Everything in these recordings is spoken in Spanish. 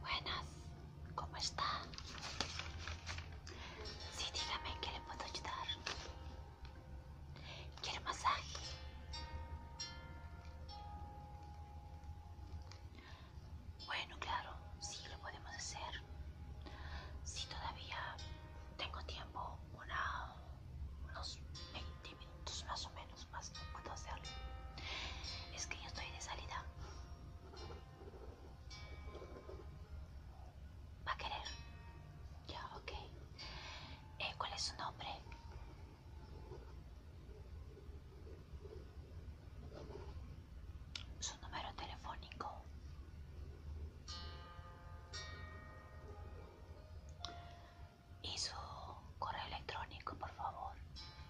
Buenas, ¿cómo está? Sí, dígame que qué le puedo ayudar. ¿Quiere masaje? Bueno, claro, sí lo podemos hacer. Si todavía tengo tiempo unos 20 minutos más o menos, más no puedo hacerlo. Es que yo estoy de salida. ¿Va a querer? Ya, ok. Eh, ¿Cuál es su nombre? Su número telefónico y su correo electrónico por favor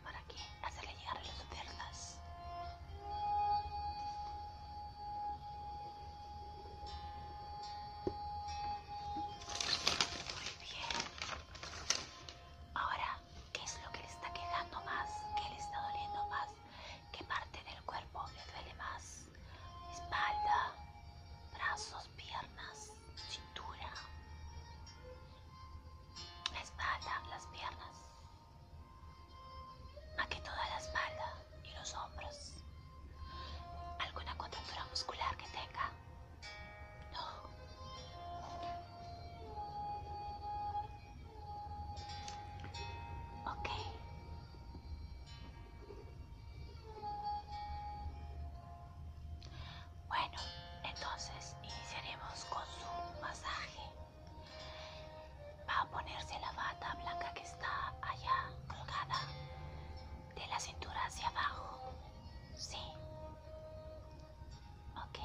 para que hacerle llegar las ofertas muy bien ahora qué es lo que le está quejando más qué le está doliendo más qué parte del cuerpo le duele más espalda, brazos, piernas, cintura, la espalda, las piernas, Aquí toda la espalda y los hombros, alguna contractura muscular que tenga. No. Ok, bueno, entonces iniciaremos con su masaje. Va a ponerse la bata blanca que está allá colgada de la cintura hacia abajo. Sí. Ok.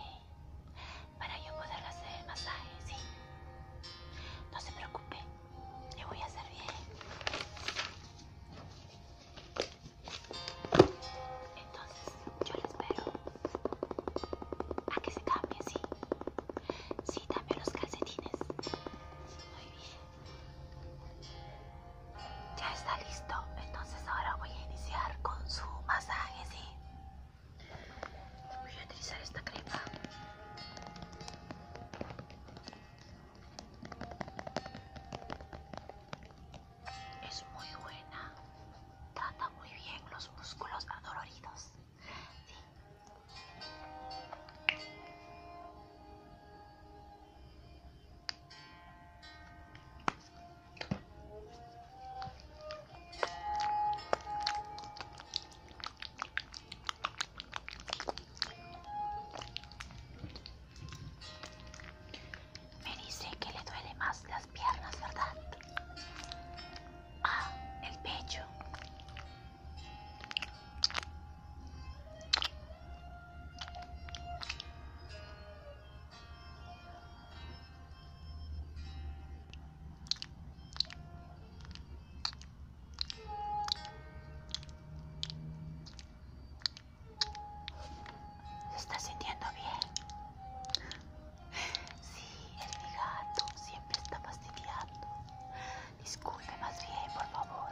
Para yo poder hacer el masaje, sí. No se preocupe. Le voy a hacer bien. Entonces, yo le espero a que se cambie, sí. Sí, también los calcetines. Muy bien. Ya está listo. Entonces, ahora voy a iniciar con su masaje, sí. Voy a utilizar esta crema. Es muy buena. Trata muy bien los músculos adoloridos. Me dice que le duele más las piernas, ¿verdad? Ah, el pecho. ¿Se está sintiendo bien? Sí, el gato, siempre está fastidiando. Disculpe más bien, por favor.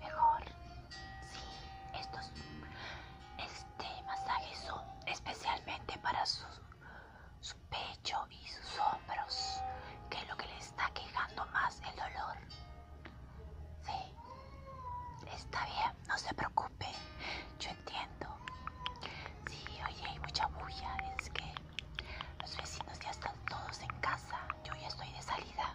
Mejor. Sí, estos este masaje son especialmente para su, su pecho y sus hombros, que es lo que le está quejando más el dolor. Sí, está bien, no se preocupe, yo entiendo. Sí, oye, hay mucha bulla, es que los vecinos ya están todos en casa yo ya estoy de salida.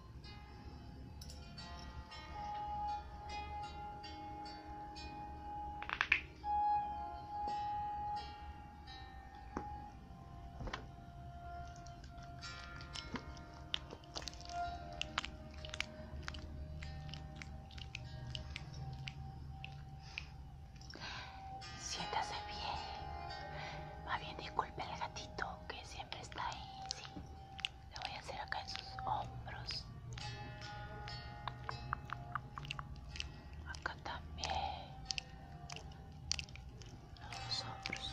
Siéntase bien, va bien, disculpe el gatito que siempre está ahí. eu vou fazer atrás dos ombros. também, Os ombros.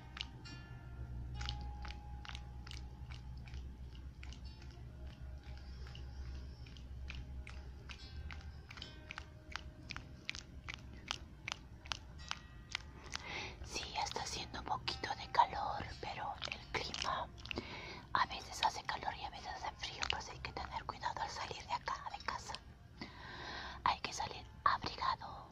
Sí, está haciendo un poquito de calor, pero el clima a veces hace calor y a veces hace frío, pues hay que tener cuidado al salir de acá, de casa. Hay que salir abrigado.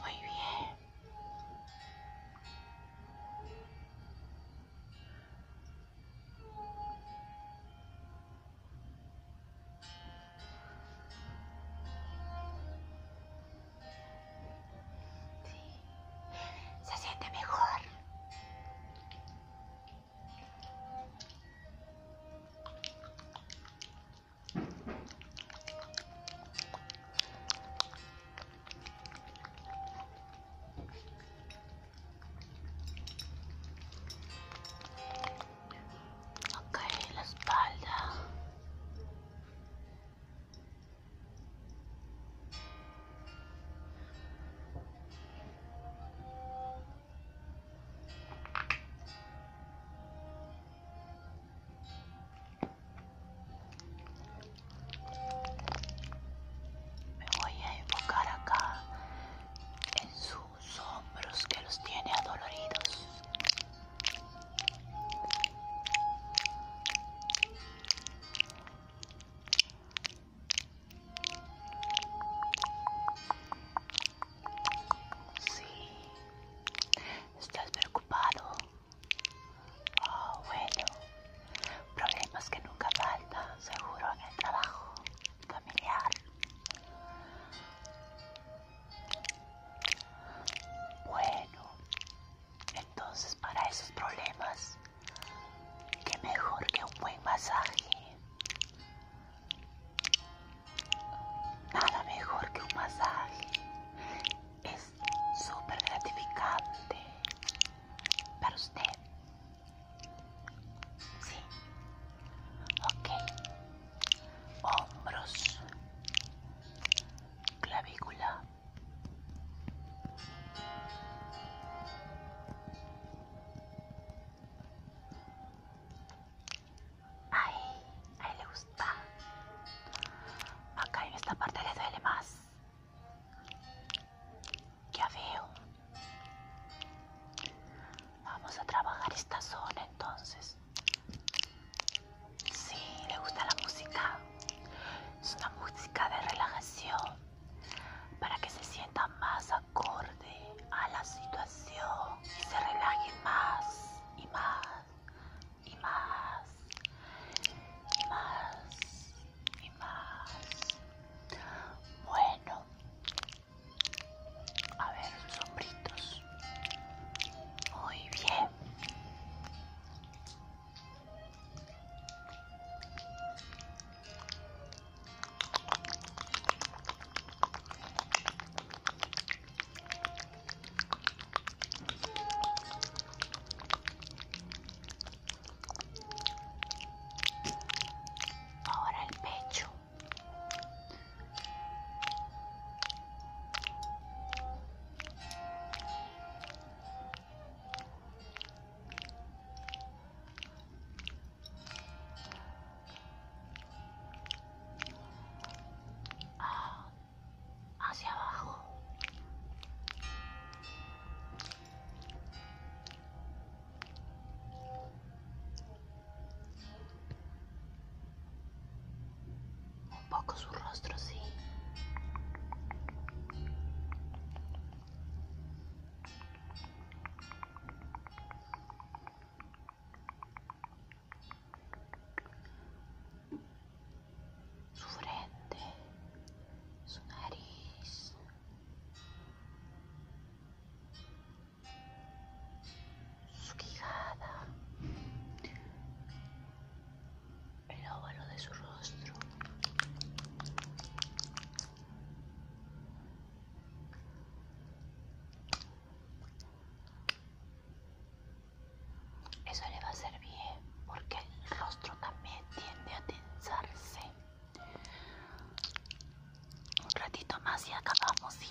Muy bien. Sí. Se siente mejor. Ok, la espalda. Me voy a enfocar acá en sus hombros que los tiene adoloridos. Sí. ¿Estás preocupado? Oh, bueno. Problemas que nunca faltan, seguro, en el trabajo familiar. Bueno, entonces para esos problemas, qué mejor que un buen masaje. Nada mejor que un masaje. Es súper gratificante para usted. Sí. Ok. Hombros. Clavícula. Ay, ahí le gusta. Acá en esta parte le duele más. Ya veo. Vamos a trabajar esta zona entonces. Sí, le gusta la música. Es una música de relajación para que se sienta más acorde a la situación y se relaje más y más y más y más y más. Bueno, a ver, sombritos. Muy bien. Ahora el pecho. Ah, hacia abajo un poco su rostro sí su frente, su nariz. Su quijada, el óvalo de su rostro, eso le va a ser bien porque el rostro también tiende a tensarse. Un ratito más y acabamos, ¿sí?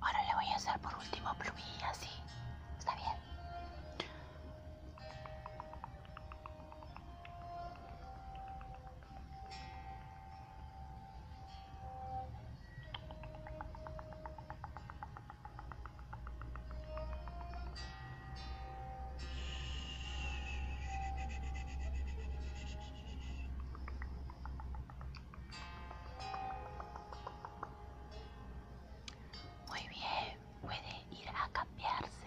Ahora le voy a hacer por último plumilla, así. ¿Está bien? Muy bien, puede ir a cambiarse.